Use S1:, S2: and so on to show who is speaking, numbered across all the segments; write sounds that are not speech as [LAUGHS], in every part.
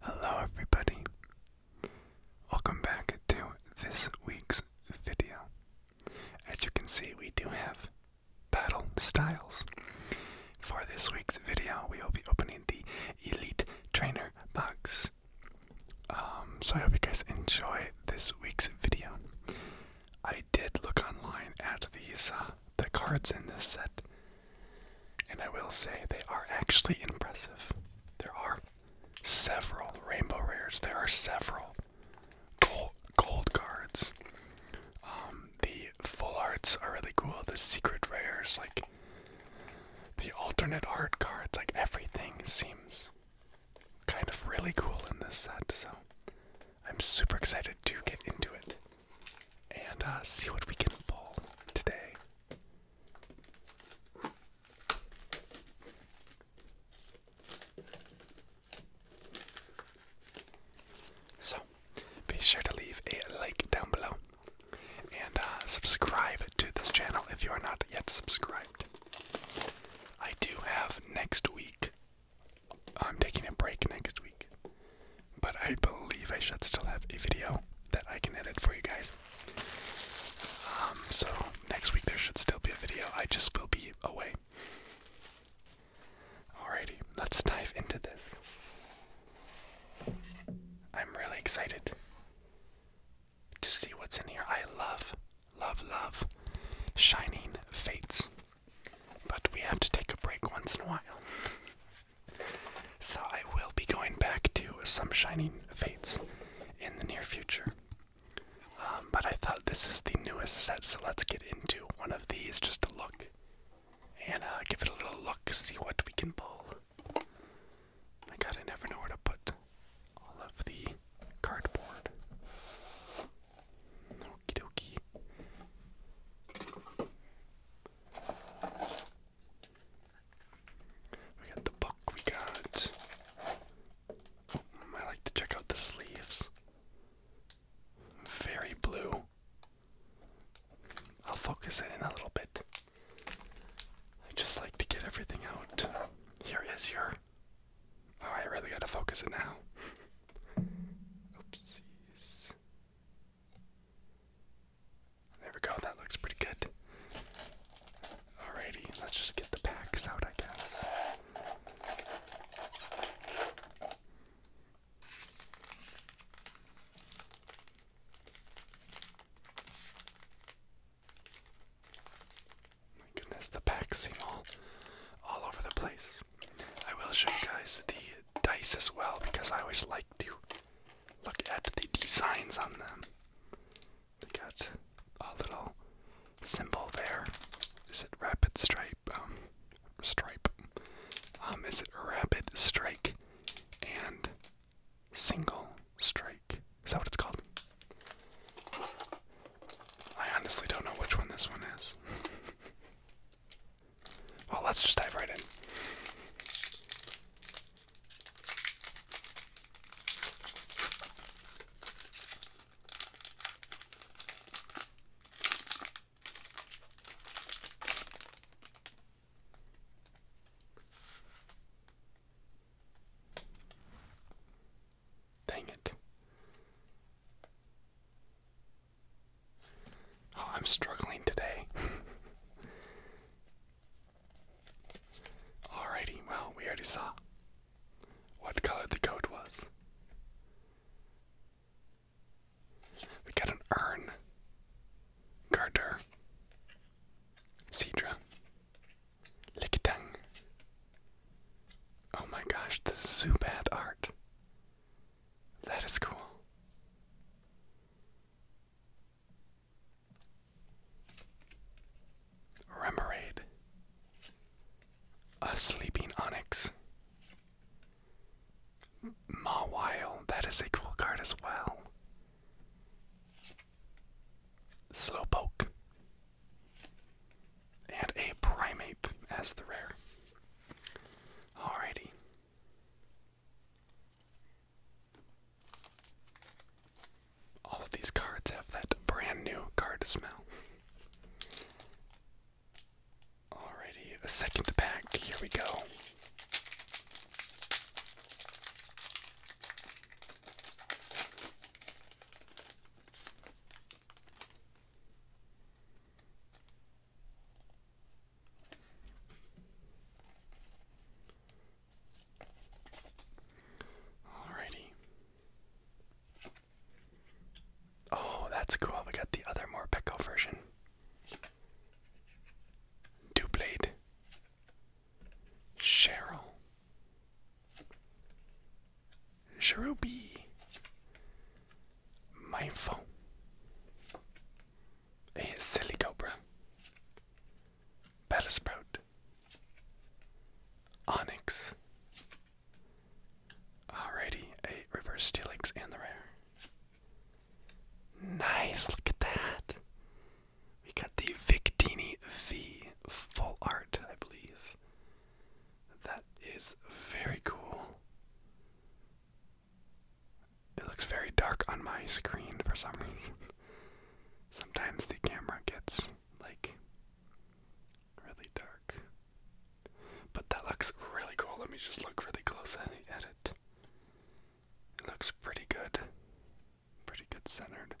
S1: Hello, everybody. Welcome back to this week's video. As you can see, we do have battle styles. For this week's video, we will be opening the Elite Trainer box. Um, so I hope you guys enjoy this week's video. I did look online at these the cards in this set, and I will say they are actually impressive. There are several rainbow rares. There are several gold, cards. Um, the full arts are really cool. The secret rares, like the alternate art cards, like everything seems kind of really cool in this set. So I'm super excited to get into it and uh, see what we can pull today. So, be sure to leave a like down below and uh, subscribe to this channel if you are not yet subscribed. I do have next week, I'm taking a break next week, but I believe I should still have a video that I can edit for you guys. Um, so next week there should still be a video. I just will be away. Alrighty, let's dive into this. I'm really excited to see what's in here. I love, love, love Shining Fates. But we have to take a break once in a while. [LAUGHS] So I will be going back to some Shining Fates in the near future. Um, but I thought this is the newest set, so let's get into one of these just to look and uh, give it a little look, see what we can pull. My god, I never know where to put all of the cardboard. Okie dokie. We got the book, we got. Mm, I like to check out the sleeves. Very blue. I'll focus in a little bit. I just like to get everything out. Here is your. Oh, I really gotta focus it now. [LAUGHS] Oopsies. There we go, that looks pretty good. Alrighty, let's just get the packs out, I guess. My goodness, the packs seem all, all over the place. I will show you guys the dice as well because I always like to Look at the designs on them. They got a little symbol there. Is it rapid stripe? Um, stripe. Um, is it rapid strike and single strike? Is that what it's called? I honestly don't know which one this one is. [LAUGHS] Well, oh, let's just dive right in. Dang it. Oh, I'm struggling today. [LAUGHS] Alrighty, well, we already saw what color the coat was. We got an urn, garter, cedra, lickitung. Oh my gosh, this Zubat art. That is cool. Remoraid, a sleeping onyx. Mawile, that is a cool card as well. Slowpoke. And a Primeape as the rare. Alrighty. All of these cards have that brand new card smell. Alrighty, second pack, here we go. Alrighty. Oh, that's cool. We got the other more Peko version. Dublade. Cheryl. My phone a silly cobra, Battlesprout, Onyx, alrighty, a reverse Steelix and the rare. Nice, look at that. We got the Victini V full art, I believe. That is very cool. It looks very dark on my screen for some reason. [LAUGHS] Sometimes the camera gets like really dark. But that looks really cool. Let me just look really close at it. It looks pretty good. Pretty good centered.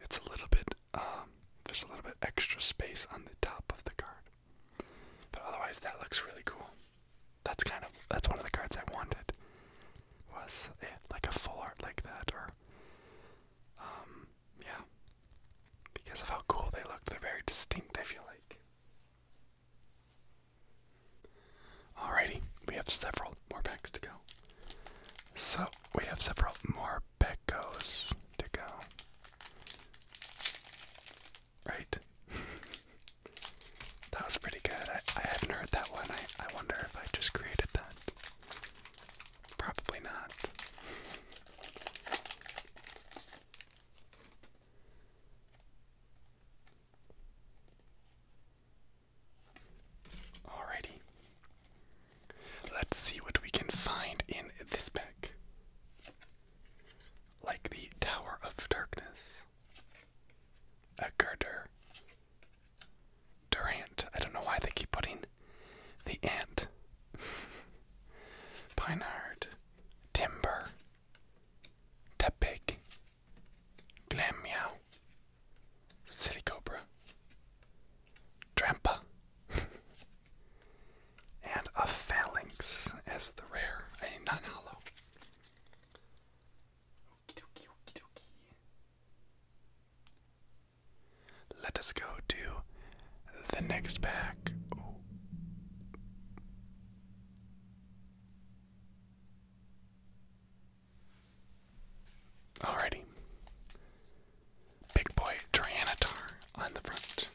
S1: It's a little bit, um, there's a little bit extra space on the top of the card. But otherwise, that looks really cool. That's kind of that's one of the cards I wanted. Was yeah, like a full art like that, or um, yeah, because of how cool they looked. They're very distinct. I feel like. Alrighty, we have several more packs to go. So we have several more Pecos to go. Right. [LAUGHS] that was pretty good. I, I haven't heard that one. I, I wonder if I just created that. Probably not. Alrighty. Let's see what we can find in this pack. Like the Tower of Darkness. A girder. Durant. I don't know why they keep putting the ant. [LAUGHS] Pinard. Timber. Tepig. Glam meow. City cobra. Drampa. [LAUGHS] and a phalanx as the rare, a non hollow. Okie dokie, okie dokie. Let us go to the next pack. Alrighty. Big boy Trianatar on the front.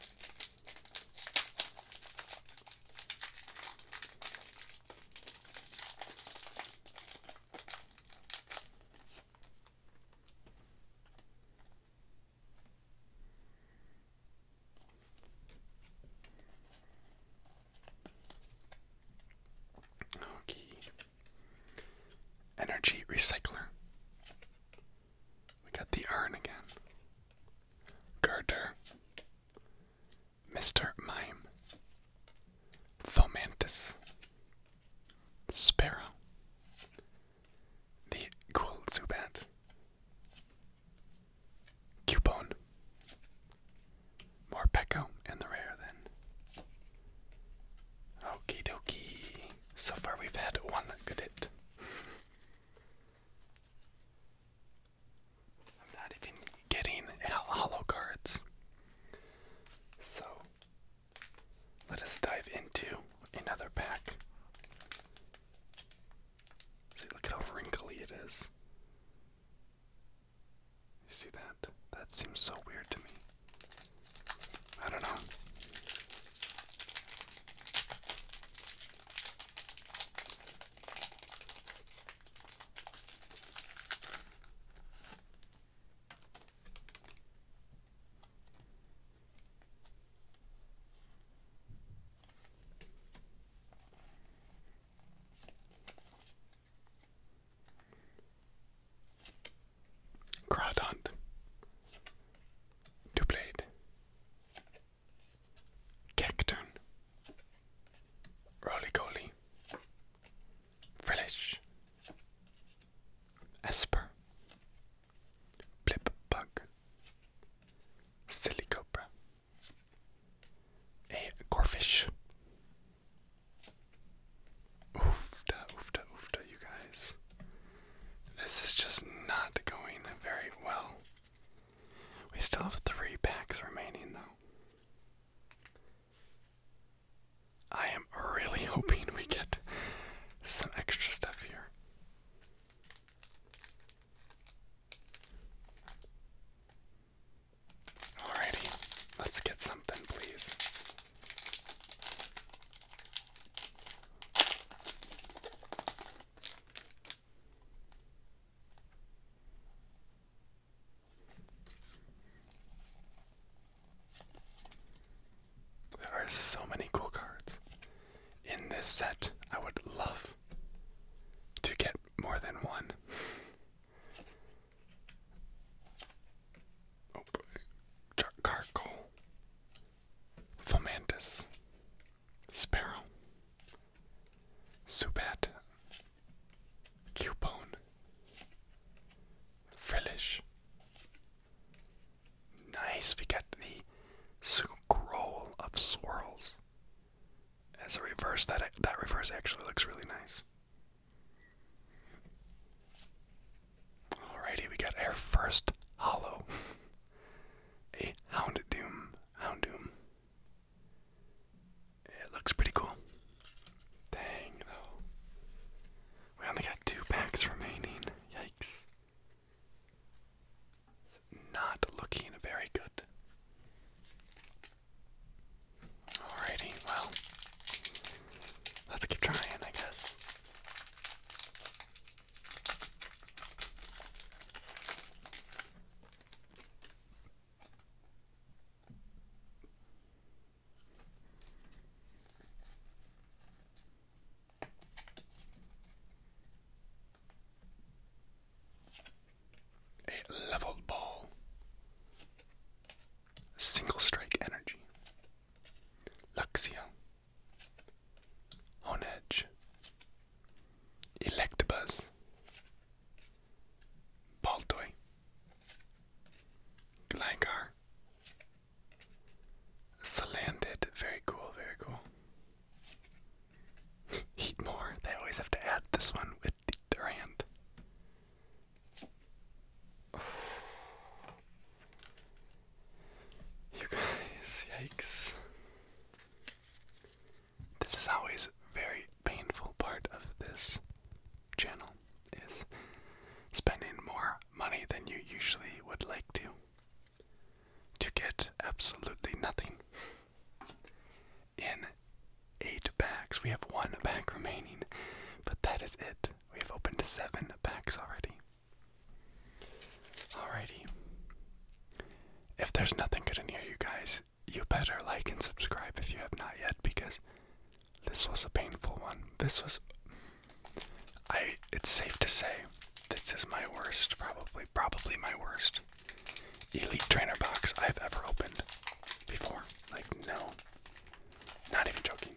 S1: Okay. Energy recycler. We got the urn again. Girder. Mr. Mime, Fomantis, Sparrow, the Ghoul Zubat, Cubone, more Peko and the rare then. Okie dokie. So far we've had one good hit. I'm not even getting hollow cards. So let us dive into another pack. See, look how wrinkly it is. You see that? That seems so weird to me. I don't know. Gradant. Two blade. Cacturn, Roly-Coly, Frillish, Esper, Blip Bug, Silly Cobra, a Corfish. Oofda, oofda, oofda, you guys. This is just not going very well. We still have three packs remaining, though. I am really [LAUGHS] hoping we get some extra stuff here. Alrighty, let's get something, please. There are so many cool cards in this set. I would love to get more than one. oh, Charcoal. Fomantis. Sparrow, Subat, Cubone, Frillish. Nice, we got the scroll of swirls. As a reverse, that that reverse actually looks really nice. Alrighty, we got our first hollow. [LAUGHS] a Houndoom. Houndoom. It looks pretty cool. Dang, though. We only got two packs remaining. Yikes. not looking very good. Alrighty, well, let's keep trying, I guess. A leveled ball. Single strike energy. Luxia. On edge. Electabuzz, Baltoy, Gligar, Salandit, very cool, very cool. [LAUGHS] Eat they always have to add this one with the Durant. [SIGHS] You guys, yikes. This is always a very painful part of this channel is spending more money than you usually would like to to get absolutely nothing. In eight packs, we have one pack remaining, but that is it. We have opened seven packs already. Alrighty. If there's nothing good in here, you guys, you better like and subscribe if you have not yet because this was a painful one. This was I it's safe to say this is my worst, probably probably my worst elite trainer box I've ever opened before. Like no. Not even joking.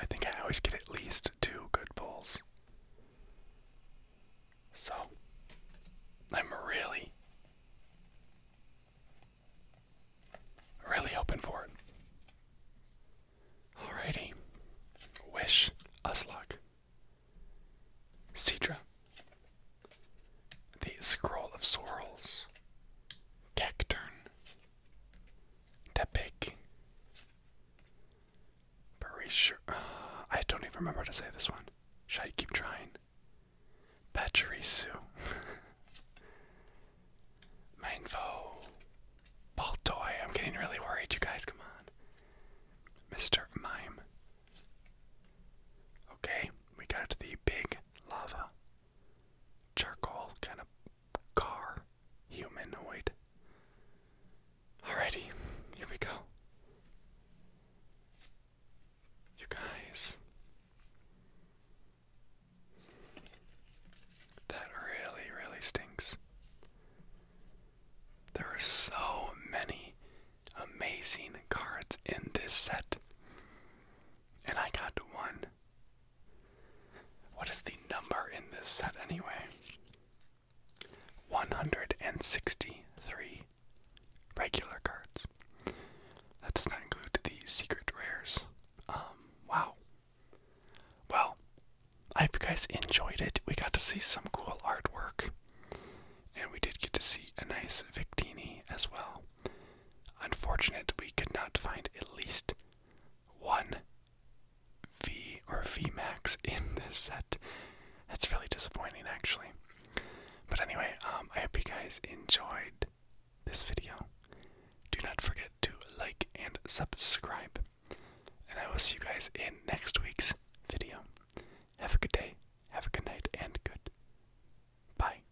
S1: I think I always get at least two good pulls. So, I'm really, really hoping for it. Alrighty. Wish us luck. Sidra, The Scroll of Sorrels. Cacturn. Tepic. Parisher. Uh, I don't even remember to say this one. Should I keep trying? Pachirisu. [LAUGHS] Mainvo. Baltoy. I'm getting really worried, you guys. Come on. Mr. Mime. Okay, we got the big lava. Charcoal kind of car humanoid. Alrighty, here we go. You guys, that really, really stinks. There are so many amazing cards in this set, and I got one what is the number in this set anyway? 163 regular cards. That does not include the secret rares. Um, wow. Well, I hope you guys enjoyed it. We got to see some cool artwork. And we did get to see a nice Victini as well. Unfortunate we could not find at least one V or Vmax in this set. That's really disappointing, actually. But anyway, um, I hope you guys enjoyed this video. Do not forget to like and subscribe. And I will see you guys in next week's video. Have a good day, have a good night, and good. Bye.